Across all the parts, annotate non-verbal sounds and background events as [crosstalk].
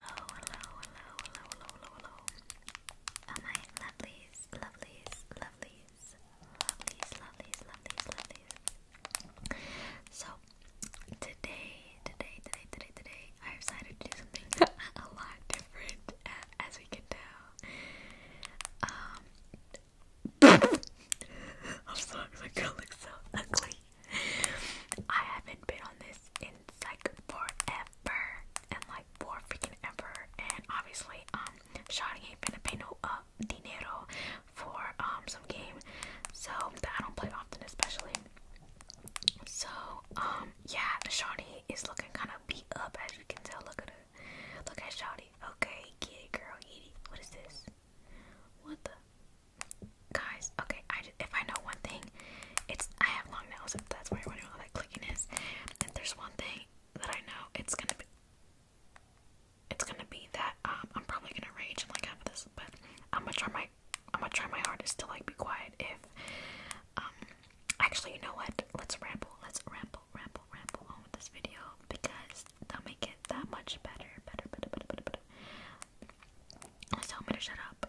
Hello, hello, hello, hello, hello, hello, hello. Oh my lovelies, lovelies, lovelies, lovelies, lovelies, lovelies, lovelies. So today, today, today, today, today, I decided to do something a lot different, as we can tell. Um, I'm sorry, my girl looks so ugly. I haven't been on this in like forever and like for freaking ever and obviously um Shawty ain't gonna pay no uh dinero for um some game so that I don't play often especially so um yeah Shawty is looking kind of beat up as you can tell look at her look at Shawty okay get girl get what is this what the guys. Okay, I if I know one thing, it's I have long nails. that's why you're wondering all that clicking is, there's one thing that I know, it's gonna be it's gonna be that um, I'm probably gonna rage and like have this, but I'm gonna try my I'm gonna try my hardest to like be quiet. If um, actually, you know what? Let's ramble. Let's ramble, ramble, ramble on with this video because they'll make it that much better, better, better, better, better, better. So I'm gonna shut up.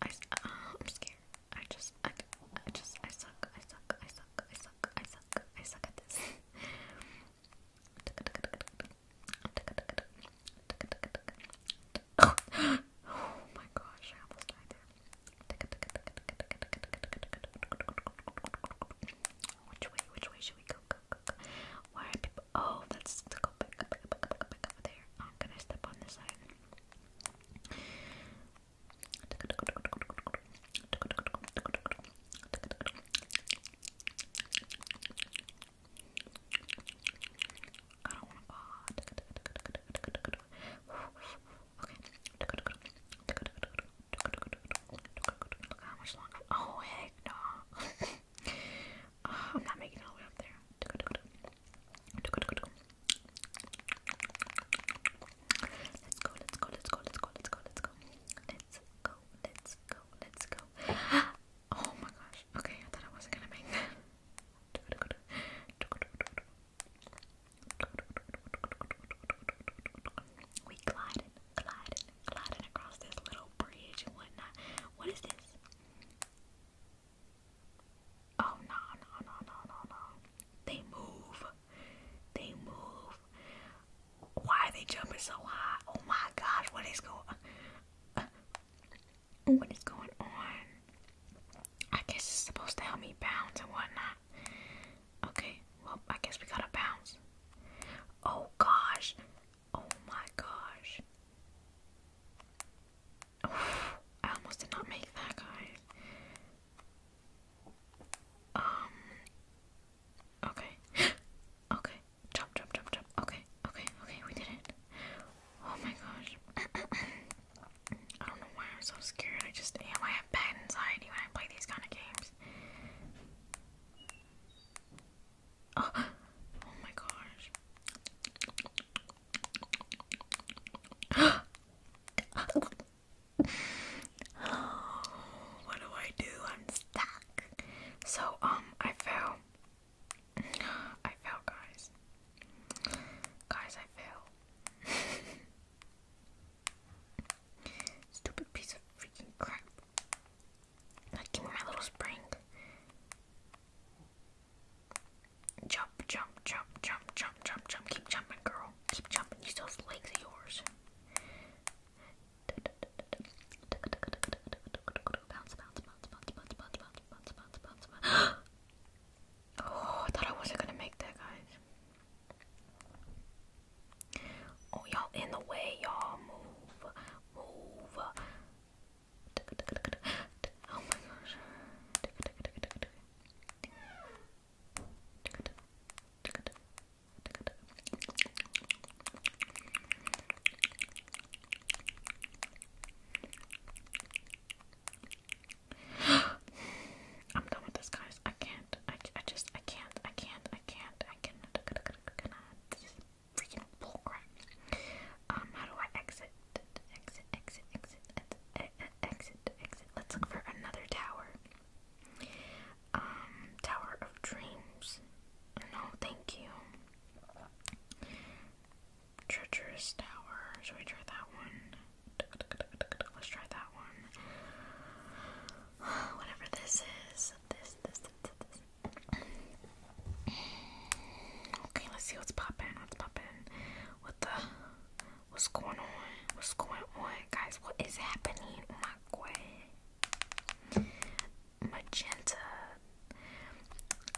I, am scared. I just, I, I just, I suck, I suck, I suck, I suck, I suck, I suck at this. oh. my gosh, I almost died there. Which way, which way should we go? go, go, go. Why are oh, that's to go back, back, back, back, back, back over there. I'm going step on this side. [laughs] Oh. heck no. [laughs] Oh, I'm not making it all the way up there. Let's go, let's go, let's go, let's go, let's go, let's go. Let's go, let's go, let's go. Oh my gosh. Okay, I thought I wasn't gonna make that. We glided, glided, glided across this little bridge and whatnot. What is this? Oh no no no no no no! They move. They move. Why are they jumping so high? Oh my gosh! What is going? what is going on? I guess it's supposed to help me bounce and whatnot. Okay. Well, I guess we gotta bounce. Oh gosh. Oh my gosh. Oh, [sighs] I almost did not make that, guys. Um. Okay. [gasps] okay. Chop, chop, chop, chop. Okay. Okay. Okay. We did it. Oh my gosh. [clears throat] I don't know why I'm so scared. I just am. I have bad anxiety when I play these kind of games. Oh, [gasps] oh my gosh. [gasps] what do I do? I'm stuck. So, um, I fell. [sighs] I fell, guys. Guys, I fell. [laughs] Stupid piece of freaking crap. Not like, my little spring. Jump, jump, jump, jump, jump, jump, jump. Keep jumping, girl. Keep jumping. Use those legs of yours. Bounce, bounce, bounce, bounce, bounce, bounce, bounce, bounce, bounce, bounce, [gasps] Oh, I thought I wasn't gonna make that, guys. Oh, y'all in the way, y'all. Move, move. [gasps] Oh my gosh. I'm done with this, guys. I can't. I, I just. I can't. I can't. I can't. I cannot. I This is freaking bullcrap. Um, how do I exit? exit, exit, exit, exit, exit, exit. Let's look for another tower. Um, Tower of Dreams. No, thank you. Treacherous Tower. Should we try that one? Let's try that one. [sighs] Whatever this is. This, this, this, this. Okay, let's see what's popping. Let's pop the What's going on? What's going on, guys? What is happening? Oh my god. Magenta.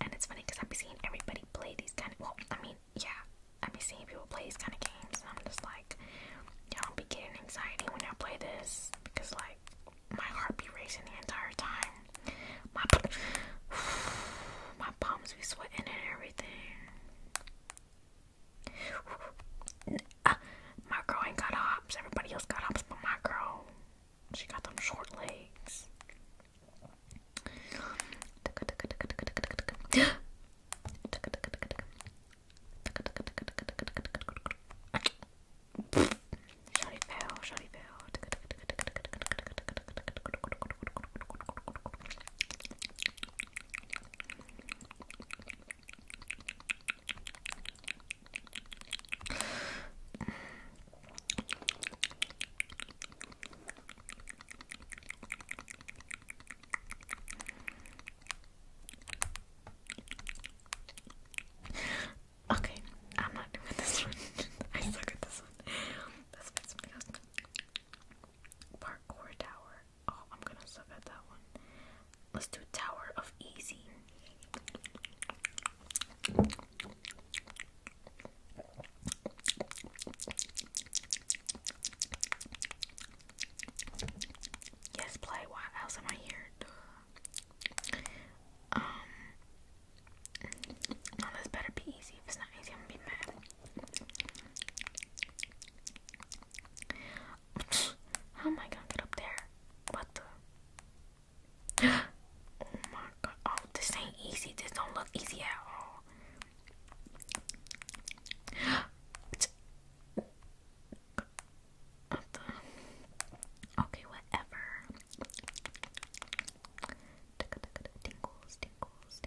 And it's funny because I've been seeing everybody play these kind of. Well, I mean, yeah. I've seeing people play these kind of games, and I'm just like, you I'm getting anxiety when I play this because, like, my heart be racing the entire time. My [sighs] my palms be sweating and everything. Ah, my girl ain't got hops. Everybody else got hops, but my girl, she got them short legs. Shotty fell, shotty fell. Okay, I'm not doing this one. [laughs] I suck at this one. Let's find something else. Parkour Tower. Oh, I'm gonna suck at that one. Let's do Tower of Easy. Yes, play. Why else am I here? Um, this better be easy. If it's not easy, I'm gonna be mad. How am I gonna get up there? What the? [gasps] Oh my god. Oh, this ain't easy. This don't look easy at all. [gasps] Okay, whatever. Tingles, tingles, tingles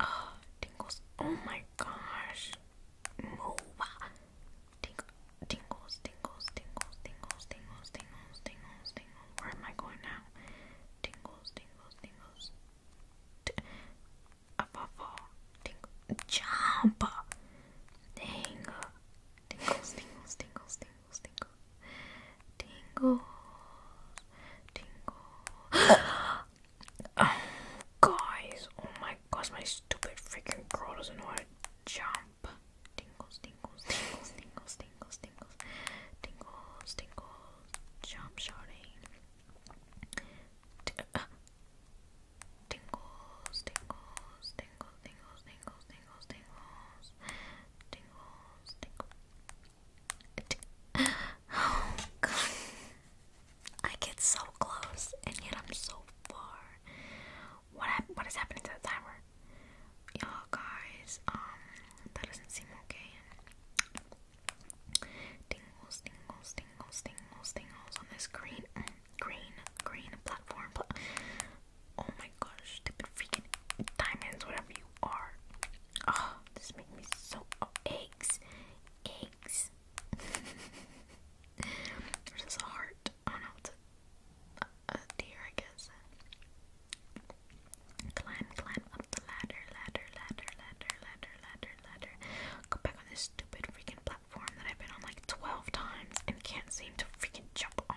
Oh, tingles. Oh my gosh. Move. tingles, tingles, tingles, tingles, tingles, tingles, tingles, tingles. Where am I going now? Tingles, tingles, tingles. above all. Ting Tingles, tingles, tingles, tingles tingle, tingle, tingle. oh, guys, oh my gosh, my stupid freaking girl doesn't know how to jump. Tingles, tingles, tingles, tingles, tingles, tingles, tingles, tingles, jump shouting. T uh, tingles, tingles, tingles, tingles, tingles, tingles, tingles, tingles, tingles, tingles, Oh god. I get so close and yet I'm so far. What what is happening to the timer? Y'all guys, um that doesn't seem okay. Dingles, dingles, dingles, dingles, dingles on this green green green platform. oh my gosh, stupid freaking diamonds, whatever you or oh, this makes me so oh, eggs, eggs. There's [laughs] this heart. Oh no, it's a, a deer, I guess. Climb, climb up the ladder, ladder, ladder, ladder, ladder, ladder, ladder. Go back on this stupid freaking platform that I've been on like 12 times and can't seem to freaking jump on.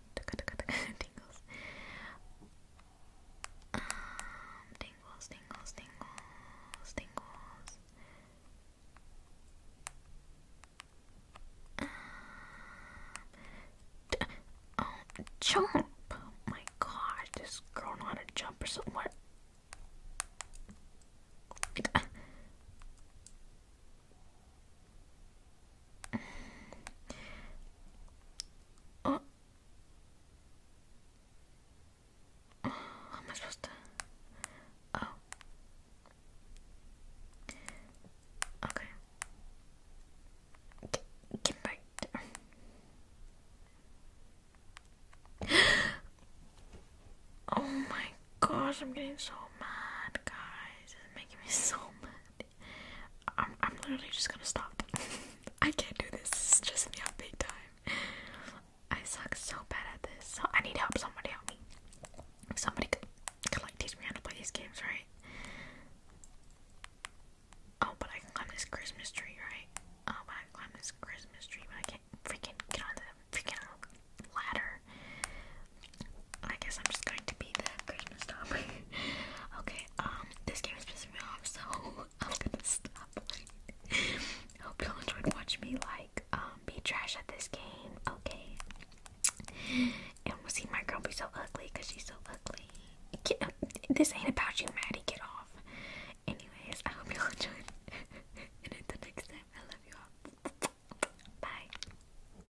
[laughs] tingles. Um, tingles, tingles, um, oh, jump! Oh my gosh, this girl know how to jump or something. Oh. How am I supposed to? Oh. Okay. Get, get back. oh my gosh, I'm getting so mad, guys. It's making me so mad. I'm, literally just gonna stop. [laughs] I can't do this. This is stressing me out big time. I suck so bad at this. So I need help. Somebody help me. Somebody could, could like teach me how to play these games, right? Oh, but I can climb this Christmas tree, right? Oh, but I can climb this Christmas tree, but I can't freaking get on the freaking ladder. I guess I'm just going to be the Christmas stop. [laughs] okay, um, this game is pissing me off, so [laughs] I'm gonna stop Hope you enjoyed watching me like um, be trash at this game. Okay. And we'll see my girl be so ugly she's so ugly. Get, um, this ain't about you, Maddie. Get off. Anyways, I hope y'all [laughs] enjoyed. and until next time, I love you all. Bye.